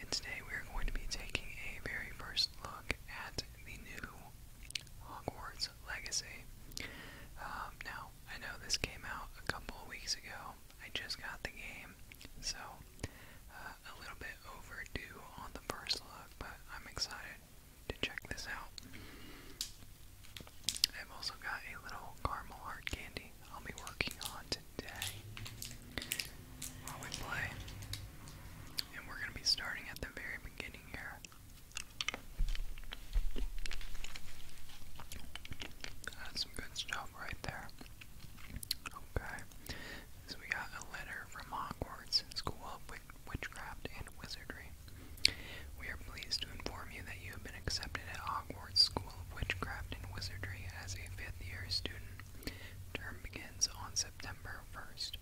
And today we are going to be taking a very first look at the new Hogwarts Legacy. Um, now, I know this came out a couple weeks ago. I just got the game, so uh, a little bit overdue on the first look, but I'm excited to check this out. I've also got a little caramel heart candy I'll be working on today. While we play. And we're going to be starting at the very beginning here. That's some good stuff right there. Okay. So we got a letter from Hogwarts School of Witchcraft and Wizardry. We are pleased to inform you that you have been accepted at Hogwarts School of Witchcraft and Wizardry as a fifth year student. Term begins on September 1st.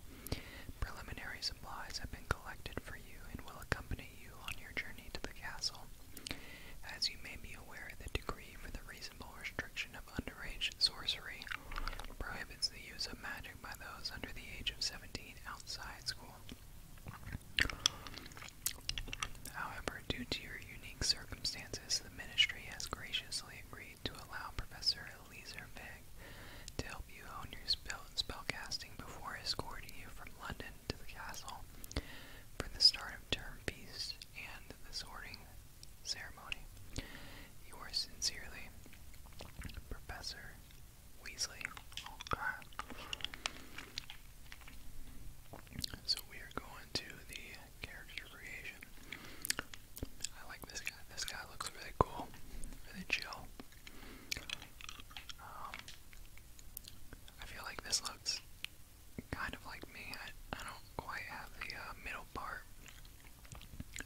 Preliminary supplies have been collected for you and will accompany you on your journey to the castle. As you may be aware, the decree for the reasonable restriction of underage sorcery prohibits the use of magic by those under the age of 17 outside school. However, However, due to your unique circumstances, the ministry has graciously agreed to allow Professor Eliezer Vig to help you hone your spell spellcasting before escorting you from London to the castle for the start of term feast and the sorting ceremony. Yours sincerely, Professor Weasley. Oh, God. So we are going into the character creation. I like this guy. This guy looks really cool, really chill. Um, I feel like this looks kind of like me. I, I don't quite have the uh, middle part.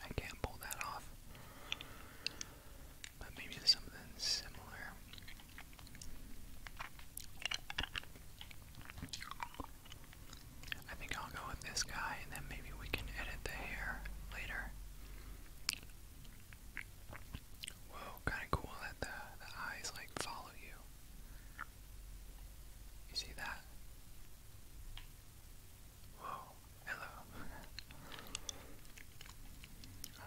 I can't pull that off. But maybe something similar. I think I'll go with this guy and then maybe we can edit the hair later. Whoa, kinda cool that the, eyes like follow you. You see that? Whoa, hello.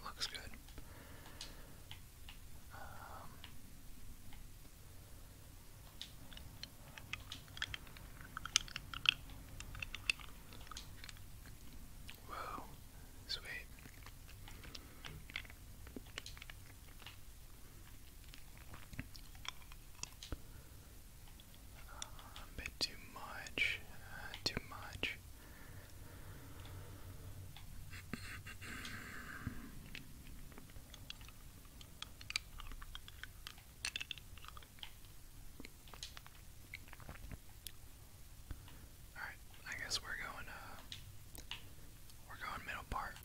Um, looks good. Um, whoa, sweet. a bit too much, uh, too much. All right, I guess we're going uh we're going middle part.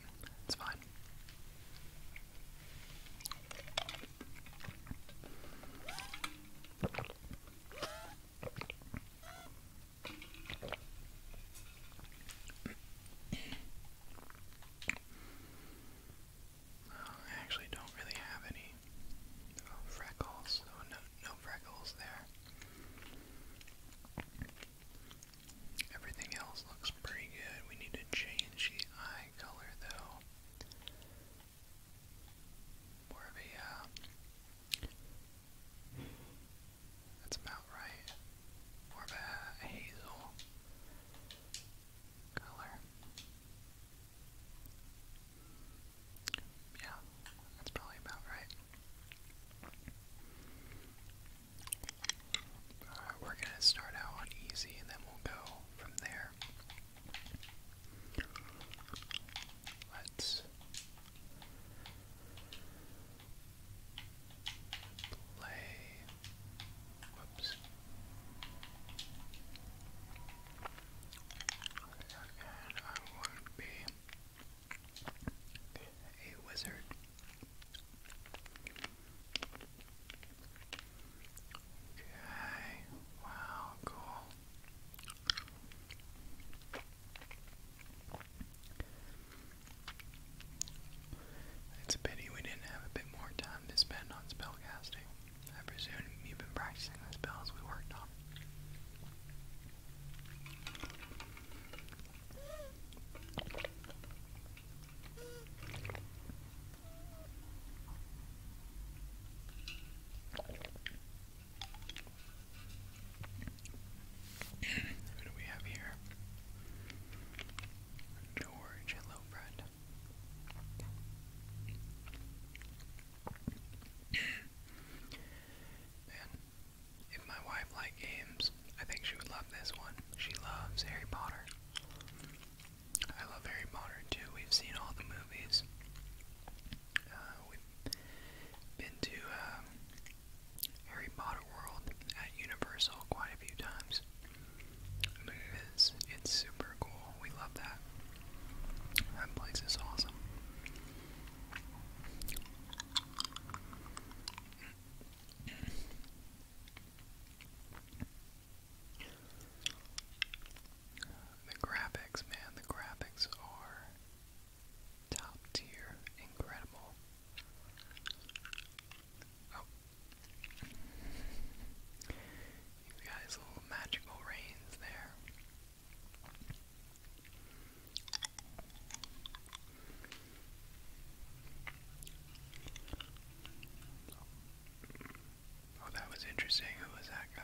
It's fine. I actually don't really have any oh, freckles, oh, no, no freckles there. Everything else looks pretty good. We need to change the eye color though. More of a uh, that's about right. More of a hazel color. Yeah, that's probably about right. Alright, uh, we're gonna start out easy and then we'll go from there. Let's play. Whoops. And I want to be a wizard. Okay. Wow. Cool. It's a pity we didn't have a bit more time to spend on spellcasting. I presume you've been practicing the spells we worked on. Who do we have here? George, hello, friend. Man, if my wife liked games, I think she would love this one. She loves Harry Potter. I love Harry Potter too. We've seen all the movies. Uh, been to um, Harry Potter World at Universal quite a few times. it is, it's super cool. We love that. That place is awesome. The graphics, man, the graphics are Top tier, incredible. Oh. You guys, little magical rains there. Oh, that was interesting. Who was that guy?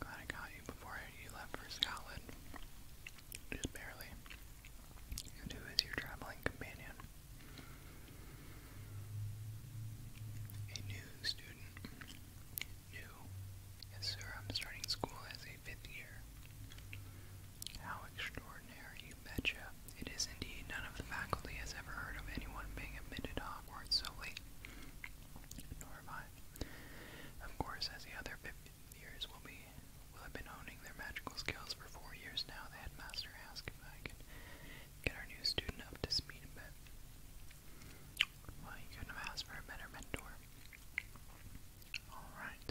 Glad I got you before you left for Scotland. Just barely. who is your traveling companion? A new student. New? Yes, sir, I'm starting school as a fifth year. How extraordinary, you betcha. It is indeed. None of the faculty has ever heard of anyone being admitted to Hogwarts so late. Nor have I. Of course, as the other 50 years will be, will have been honing their magical skills for four years now, the headmaster asked if I could get our new student up to speed a bit. Well, you couldn't have asked for a better mentor. Alright.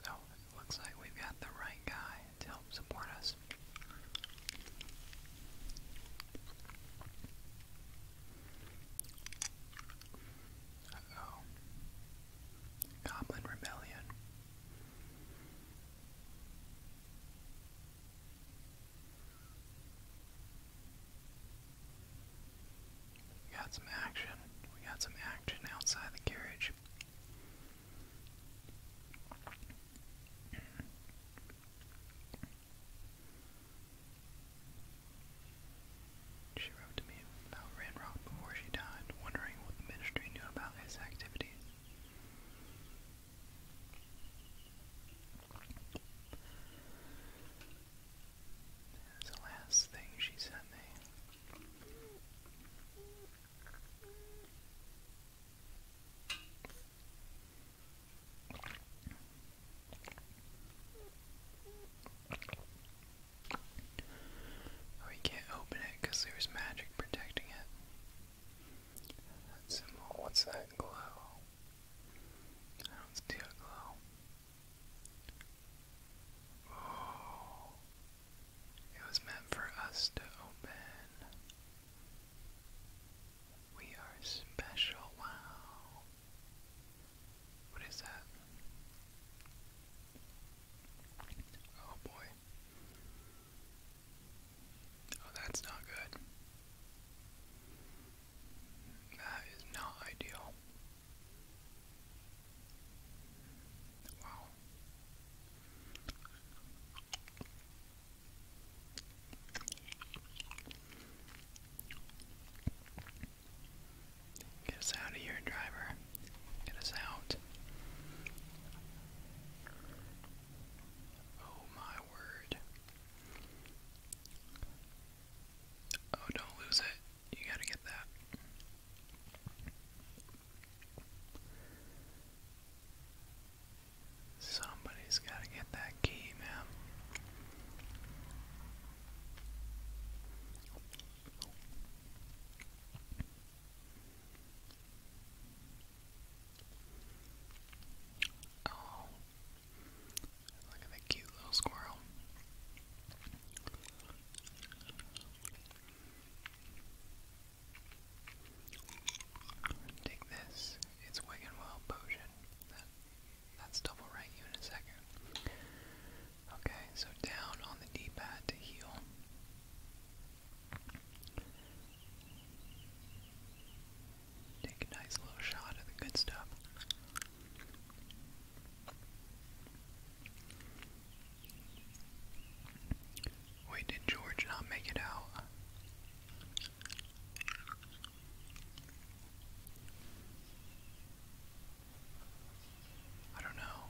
So, it looks like we've got the right guy to help support us. oh. Goblin Rebellion. We got some action. We got some action outside the carriage. She wrote to me about Ranrock before she died, wondering what the ministry knew about his activities. That's the last thing she sent me. Oh, can't open it because there's magic protecting it. what's that glow? I do glow. Oh, it was meant for us to open. We are special. Wow. What is that? Oh boy. Oh, that's not good. That is not ideal. Wow. Get us out of here, driver. Get us out. Oh my word. Oh, don't lose it. You gotta get that. Somebody's gotta get that key, man. Oh, look at that cute little squirrel. Take this. It's Wiganwell potion. That that stuff will write you in a second. Okay, so down on the D-pad to heal. Take a nice little shot of the good stuff. Wait, did George not make it out? I don't know.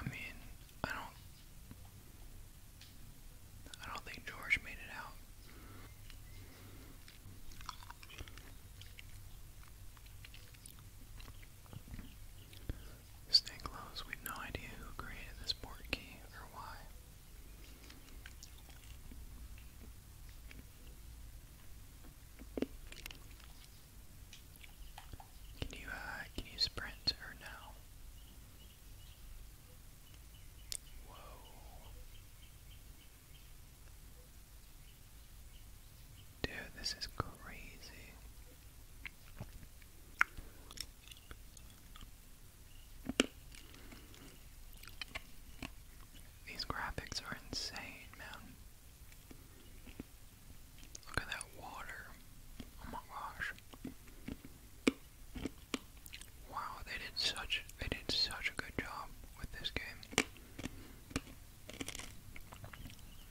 I mean, I don't I don't think George made it out. Stay close, we've no idea who created this port key or why. Can you uh, can you sprint or no? Whoa. Dude, this is crazy. These graphics are insane, man. Look at that water. Oh my gosh. Wow, they did such they did such a good job with this game.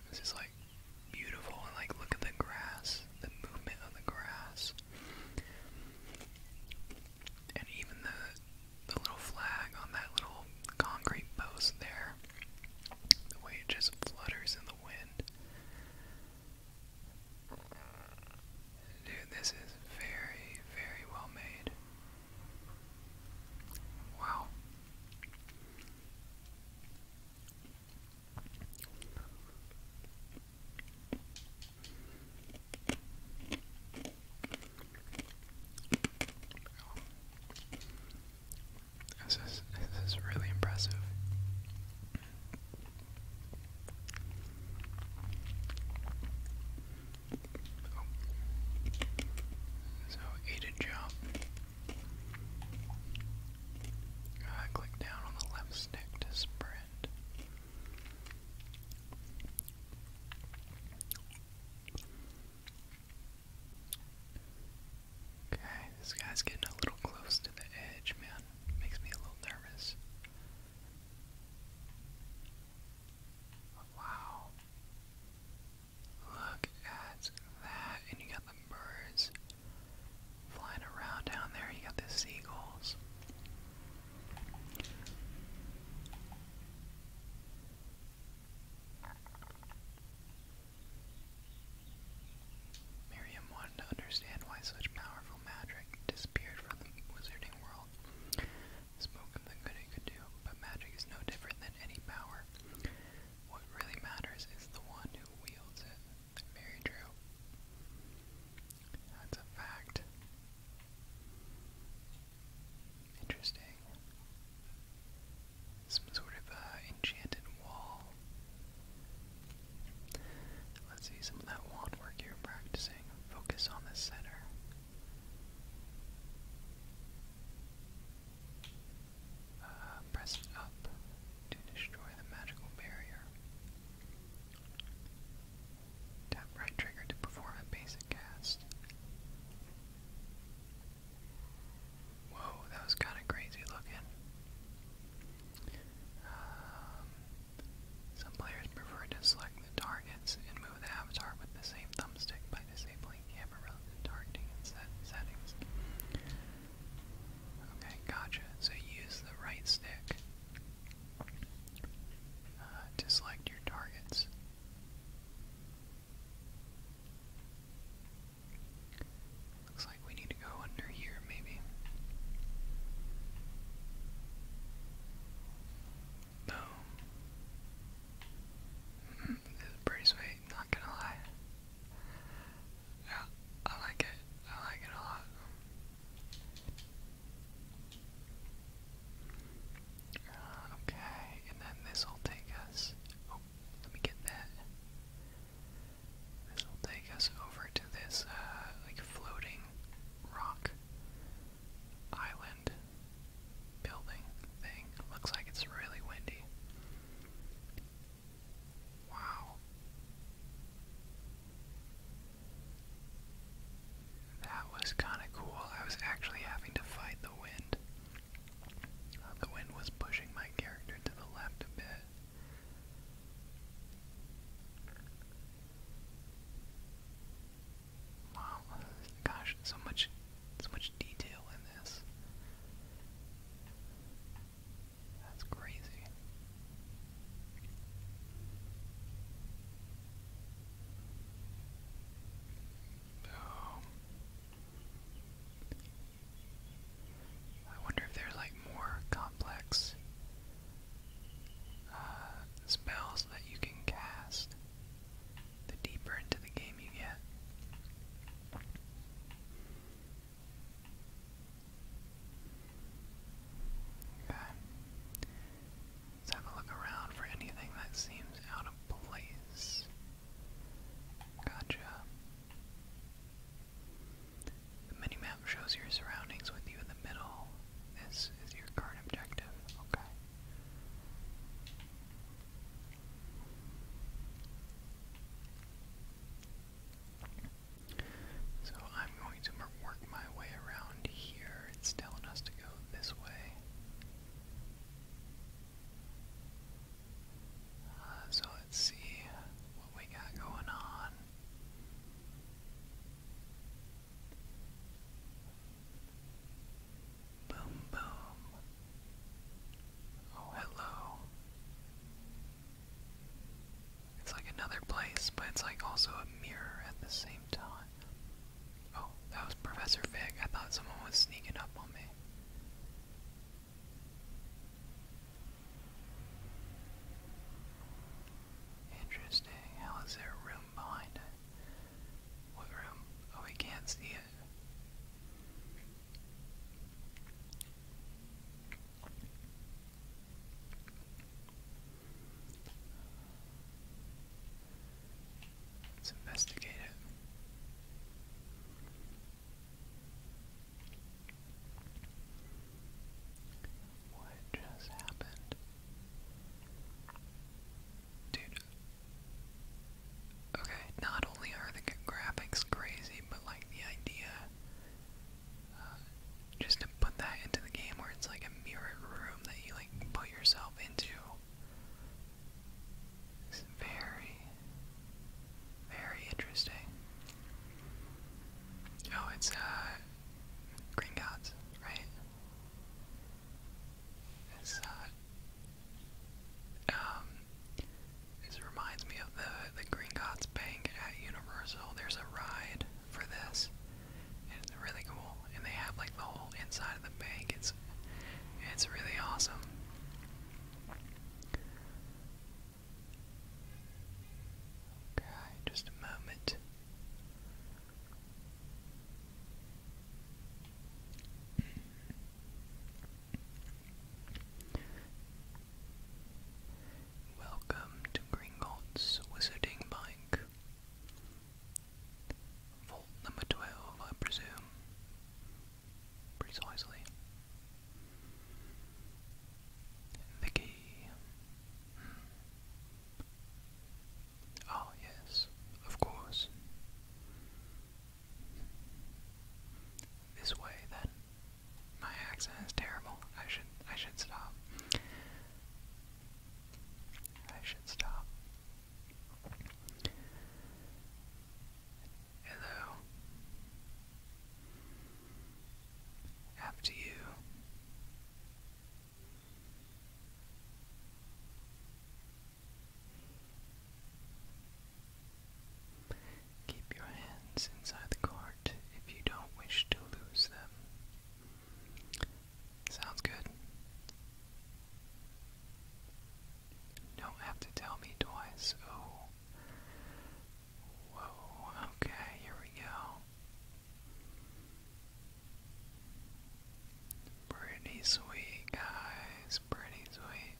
This is like beautiful and like look at the grass, the movement of the grass. And even the the little flag on that little concrete post there. The way it just flutters in the wind. Dude, this is very, very well made. Wow. This is this is really impressive. Oh. So, ate a job. I click down on the left stick to sprint. Okay, this guy's getting a little close to the edge, man. Makes me a little nervous. Wow. Look at that. And you got the birds flying around down there. You got the seagulls. Miriam wanted to understand why such powerful magic disappeared from the wizarding world. Spoke of the good it could do, but magic is no different than any power. What really matters is the one who wields it. Very true. That's a fact. Interesting. Some sort of uh, enchanted wall. Let's see some of that wand work you're practicing. Focus on the center. Uh, press up to destroy the magical barrier. Tap right trigger to perform a basic cast. Whoa, that was kind of crazy looking. Um, some players prefer to select the targets and move the avatar with the same thumbstick by disabling camera relative targeting and set settings. Okay, gotcha. So use the right stick uh, to select your targets. Looks like we need to go under here, maybe. Boom. this is pretty sweet not gonna lie. Yeah, I like it. I like it a lot. Uh, okay, and then this will take us. Oh, let me get that. This will take us over to this, uh, like floating rock island building thing. Looks like it's really windy. Wow. That was kind of cool. I was actually having to fight the wind. the wind was pushing my character to the left a bit. Wow, gosh, so much so much detail in this. That's crazy. Oh. I wonder if there's like more complex uh, spells that you can cast the deeper into the game you get. Okay. Let's have a look around for anything that seems out of place. Gotcha. The mini shows your surroundings with you in the middle. This is your current objective. Okay. So I'm going to work my way around here. It's telling us to go this way. Uh, so let's see what we got going on. Boom, boom. Oh, hello. It's like another place, but it's like also a mirror at the same time. Oh, that was Professor Fig. I thought someone was sneaking up on me. Interesting. How is there room behind it? What room? Oh, we can't see it. Let's investigate it. What just happened? Dude, Okay, not only are the graphics crazy, but like the idea uh, just to put that into the game where it's like a mirrored room that you like put yourself into is very, very interesting. Oh, it's uh, Green Gods, right? It's uh, um, this reminds me of the the Green Gods Bank at Universal. There's a ride for this, it's really cool. And they have like the whole inside of the bank. It's it's really awesome. Okay, just a moment. Welcome to Gringotts Wizarding Bike. Vault number 12, I presume. Precisely. Vicky. Hmm. Ah, yes, of course. This way then. My accent is terrible. I should I should stop. I should stop. Hello. After you. Keep your hands inside the cart if you don't wish to lose them. Sounds good. Don't have to tell me twice. Oh. Whoa, okay, here we go. Pretty sweet, guys. He's pretty sweet.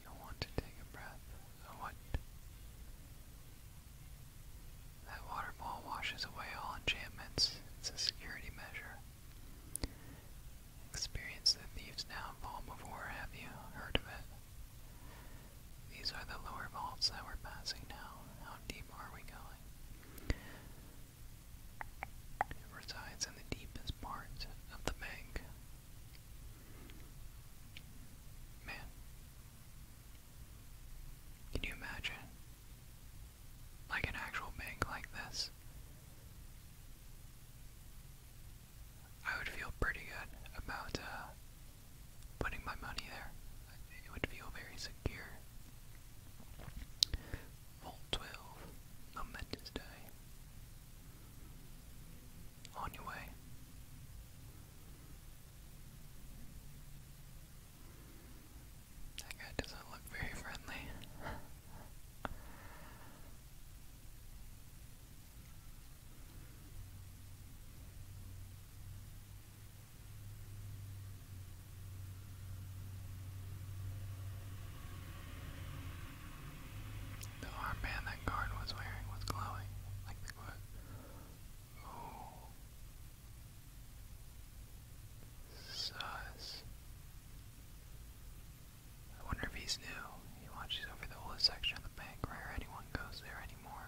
you want to take a breath, what? That waterfall washes away all enchantments. It's a security measure. Experience the Thieves' now Downfall before, have you heard of it? These are the lower vaults that we're passing now. How deep are we going? It resides in the deepest part of the bank. Man, can you imagine? Like an actual bank like this? I would feel pretty good about uh, putting my money there. It would feel very secure. Vault 12, momentous day. On your way. That guy doesn't look very friendly. The armband that guard was wearing was glowing, like the glow. Sus. I wonder if he's new. He watches over the old section of the bank. Rare anyone goes there anymore.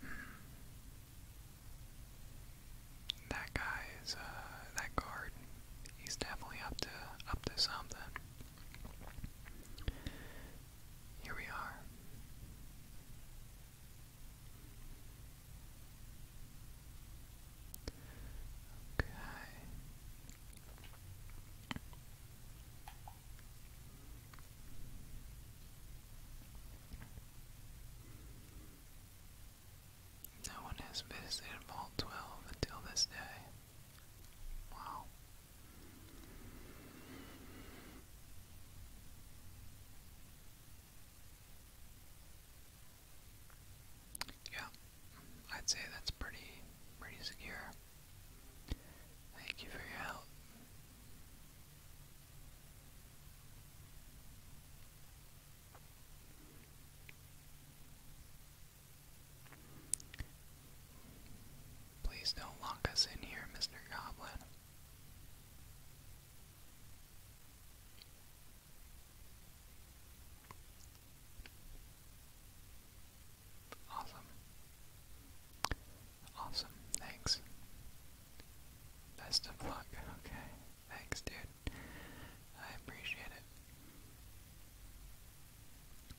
Hmm. That guy is, uh, that guard. He's definitely up to up to something. Here we are. No one has visited Vault 12 until this day. Wow. Yeah, I'd say that's pretty pretty secure. Thank you for your help. Please don't lock us in here, Mr. Goblin. Awesome. Awesome. Thanks. Best of luck. Okay. Thanks, dude. I appreciate it.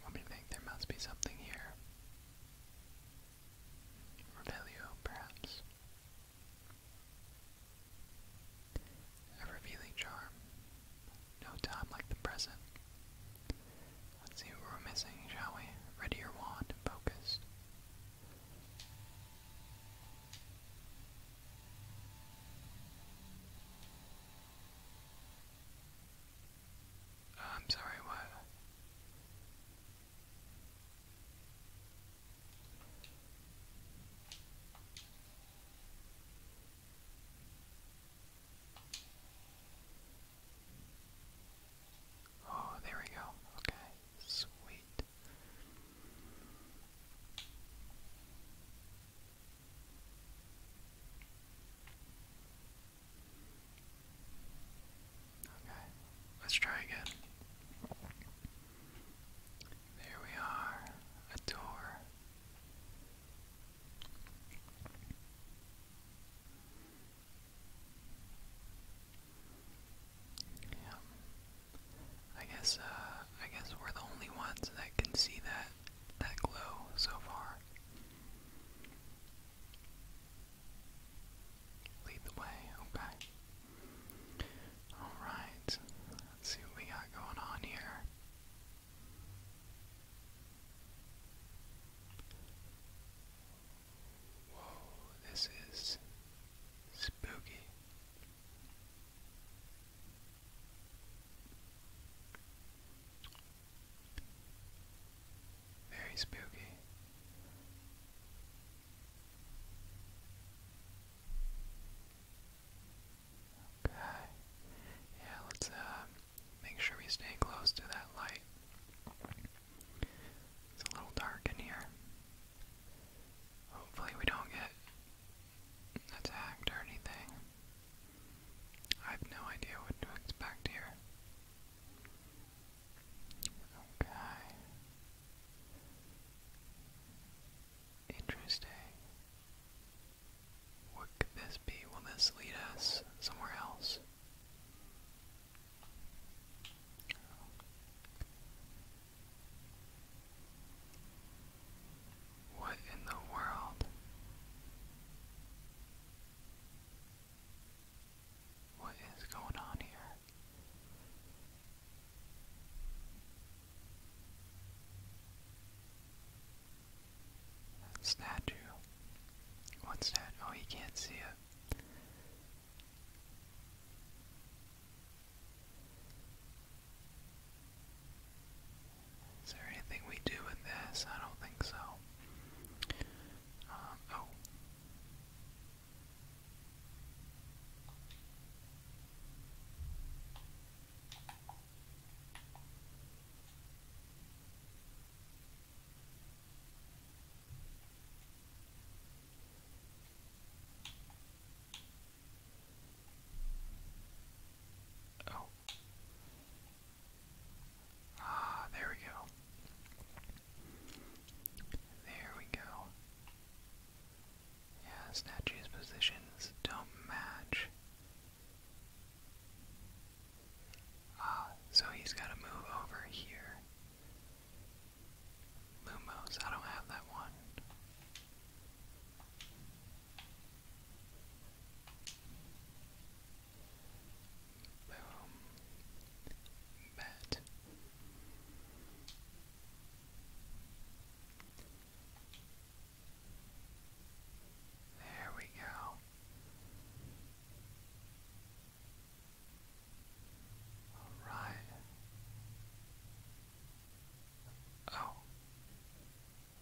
Let me think. There must be something here. Revelio, perhaps. A revealing charm. No time like the present. Let's see what we're missing, shall we? Ready your wand, focused. I'm sorry, what? Oh, there we go. Okay, sweet. Okay, let's try again. There we are, a door. Yeah. I guess uh I guess we're the only ones that can see that that glow so far. Lead the way, okay. Alright, let's see what we got going on here. Whoa, this is spooky. Very spooky. Okay. Yeah, let's uh, make sure we stay close to that light. It's a little dark in here. Hopefully, we don't get attacked or anything. I have no idea what to expect here. Okay. Interesting. What could this be? Will this lead us somewhere else? What in the world? What is going on here? That statue. What's that? Oh, you can't see it. Is there anything we do with this? I don't think so. Um, oh. Oh. Ah, there we go. There we go. Yeah, statues' positions don't match. Ah, so he's got to move over here. Lumos, I don't have that one um, bat. There we go. All right. Oh.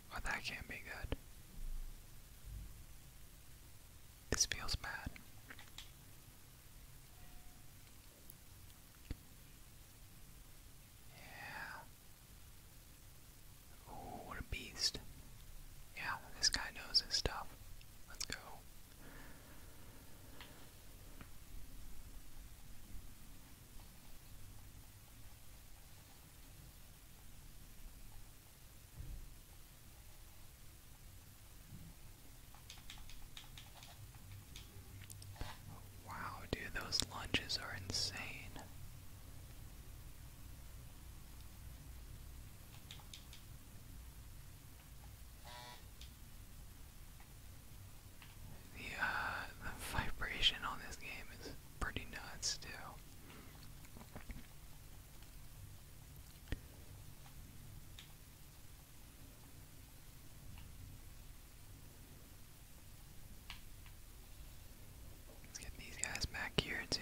Well, that can't be good. This feels bad. Yeah. Ooh, what a beast. Yeah, this guy knows his stuff. Let's go. Wow, dude, those lunges are insane. The uh, the vibration on this game is pretty nuts too. Let's get these guys back here too.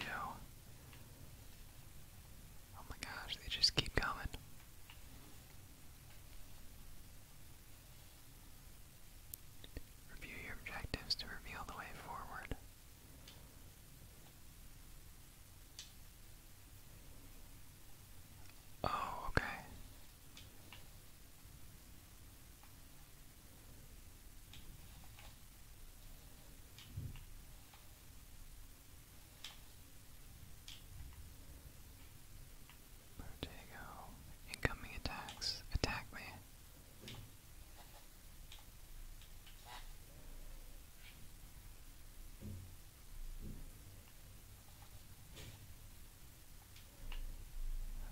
Oh my gosh, they just keep coming. Review your objectives to reveal the way forward. Oh, okay. Vertigo. Incoming attacks. Attack me.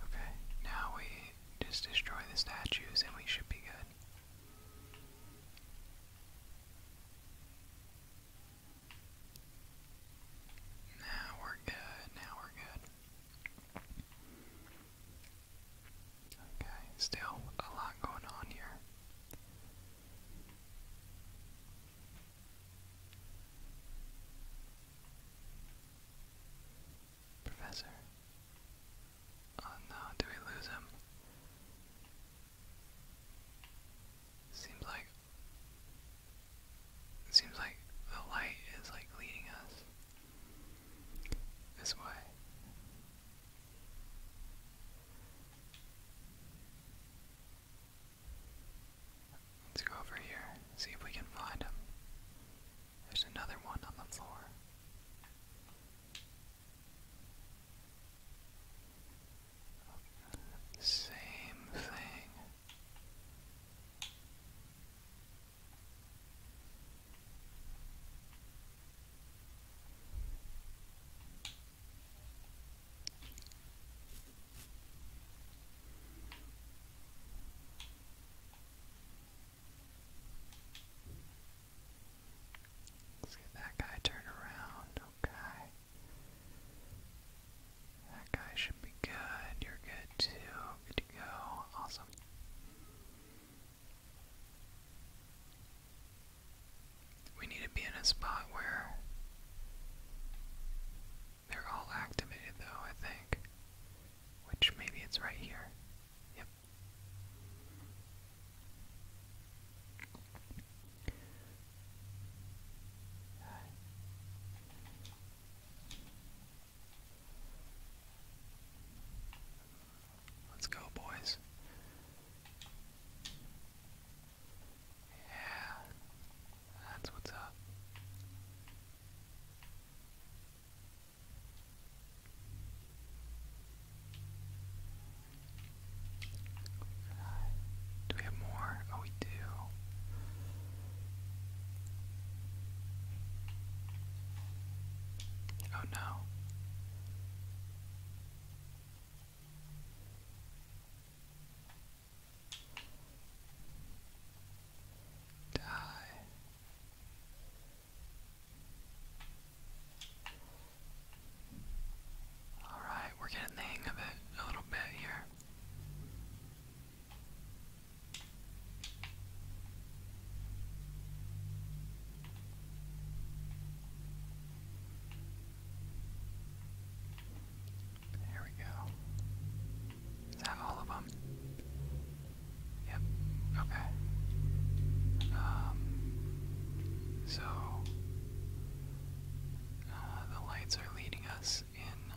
Okay, now we just destroy the statues and we should be good. Now we're good, now we're good. Okay, still a lot going on here. Professor. Oh no, do we lose him? Seems like seems like the light is like leading us this way. Let's go over here, see if we can find him. There's another one on the floor. Same thing. Let's get that guy turned around, okay. That guy should be good. You're good too. Good to go. Awesome. We need to be in a spot where they're all activated, though, I think. Which maybe it's right here. Yep. Let's go, boys. Yeah, that's what's up. Do we have more? Oh, we do. Oh no. Die. All right, we're getting the hang of it a little bit here. There we go. Is that all of them? Yep. Okay. Um, so, uh, the lights are leading us in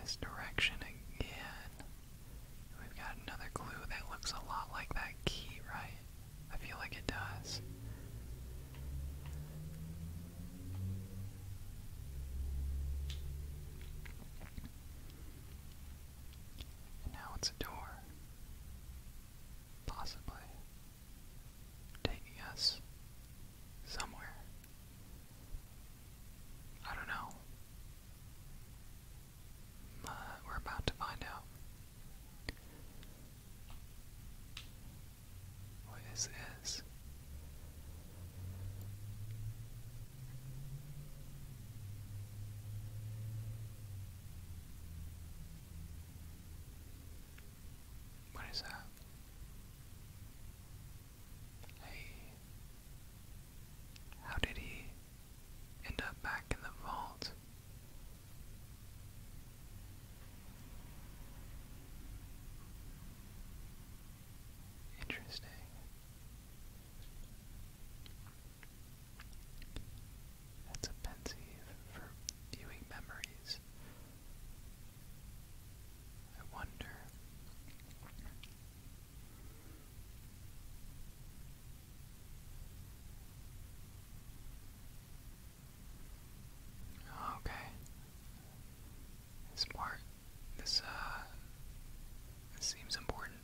this direction again. We've got another clue that looks a lot like that key, right? I feel like it does. now it's a door, possibly taking us somewhere. I don't know. Uh, we're about to find out. What is this? What is that? Hey, how did he end up back in the vault? Interesting. That's offensive for viewing memories. I wonder Okay. This this, uh, this seems important.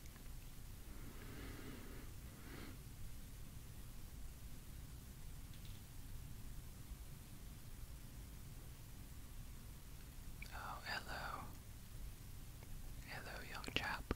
Oh, hello. Hello, young chap.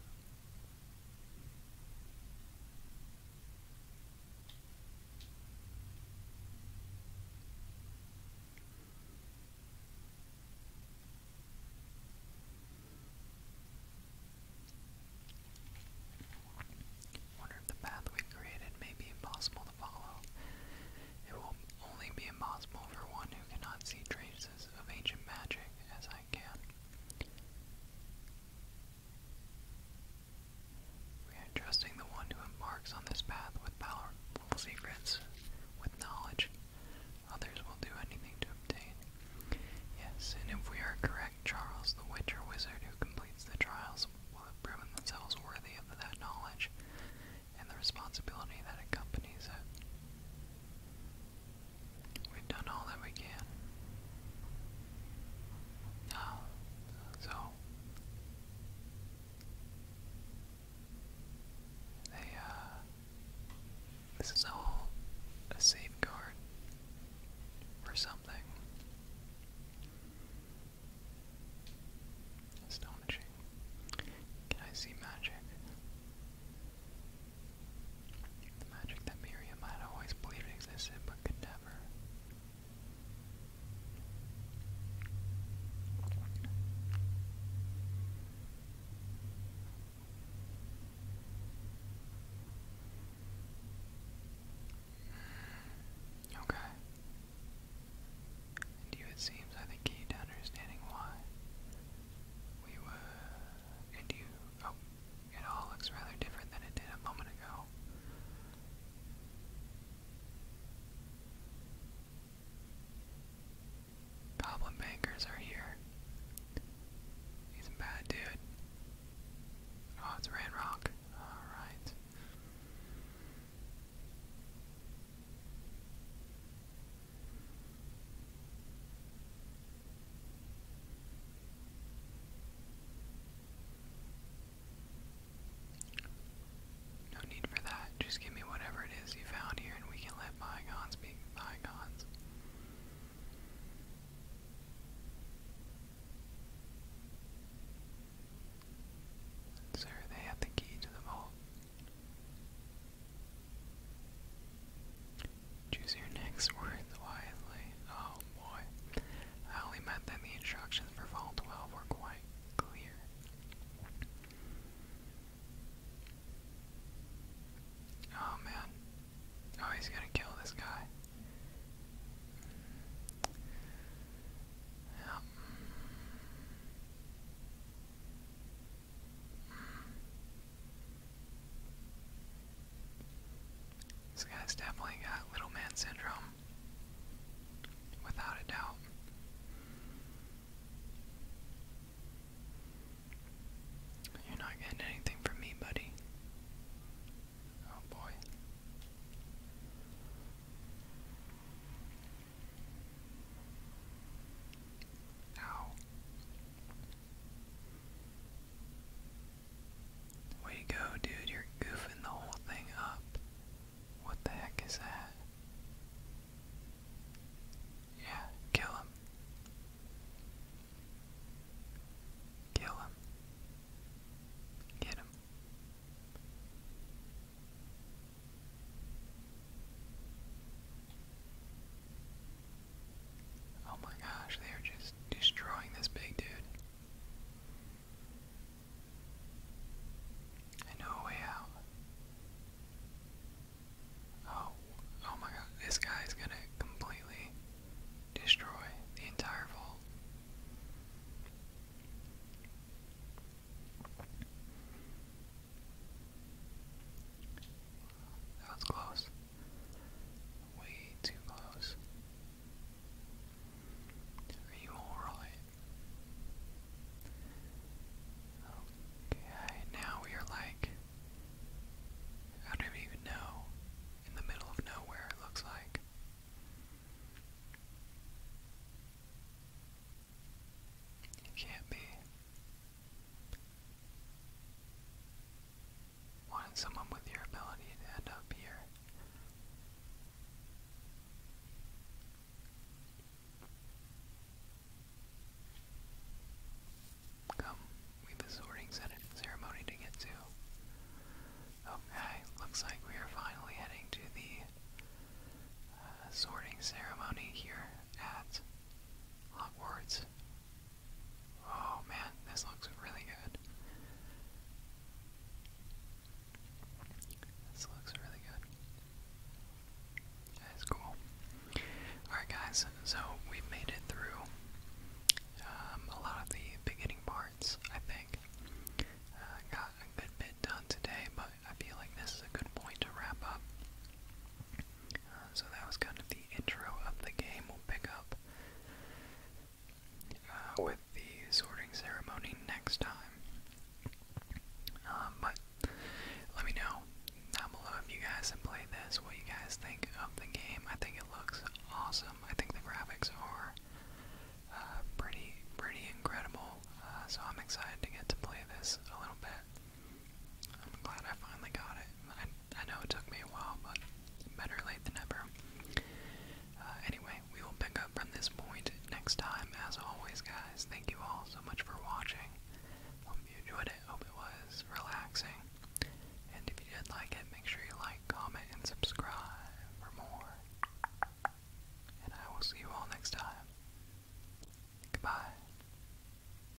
Wonder if the path we created may be impossible to follow. It will only be impossible for one who cannot see traces of ancient magic as I we are trusting the one who embarks on this path with powerful secrets, with knowledge. Others will do anything to obtain. Yes, and if we are correct, Charles, the witch or wizard who completes the trials, will have proven themselves worthy of that knowledge and the responsibility that accompanies it. We've done all that we can. Now, so uh, this is all a safeguard for something. Astonishing. Can I see magic? The magic that Miriam had always believed existed but could never. Okay. And you, it seems, I think, key to understanding why we were, and you Oh, it all looks rather different than it did a moment ago. Goblin bankers are here. He's bad dude. Oh, it's Ranrock. Alright. No need for that. Just give me whatever it is you found here, and we can let my bygones be bygones. Sir, they have the key to the vault. Choose your next words wisely. Oh boy. I only meant that the instructions for Fall 12 were quite clear. Oh man. Oh, he's gonna kill this guy. Yeah. This guy's definitely got little man syndrome, without a doubt. You're not getting anything from me, buddy. Oh boy. Ow. Way you go, dude. You're goofing the whole thing up. What the heck is that? Yeah, kill him. Kill him. Get him. Oh my gosh, they're just destroying this big dude. I way out. Oh, oh my god, this guy's gonna completely destroy the entire vault. That was close. Way too close. Are you alright? Okay, now we are like, I don't even know, in the middle of nowhere it looks like. It can't be. Wanted someone with your ability to end up here. Come, we have a sorting ceremony to get to. Okay, looks like we are finally heading to the uh, sorting ceremony here at Hogwarts. Oh man, this looks really good. This looks really good. That is cool. Alright, guys, so we made it through um, a lot of the beginning parts, I think. Uh, got a good bit done today, but I feel like this is a good point to wrap up so that was kind of the intro of the game. We'll pick up uh, with the sorting ceremony next time. Um, but let me know down below if you guys have played this, what you guys think of the game. I think it looks awesome. I think the graphics are uh, pretty, pretty incredible. Uh, so I'm excited to get to play this a little bit. I'm glad I finally got it. I, I know it took me a while, but better late than never. Uh, anyway, we will pick up from this point next time. As always, guys, thank you all so much for watching. Hope you enjoyed it. Hope it was relaxing. And if you did like it, make sure you like, comment, and subscribe for more. And I will see you all next time. Goodbye.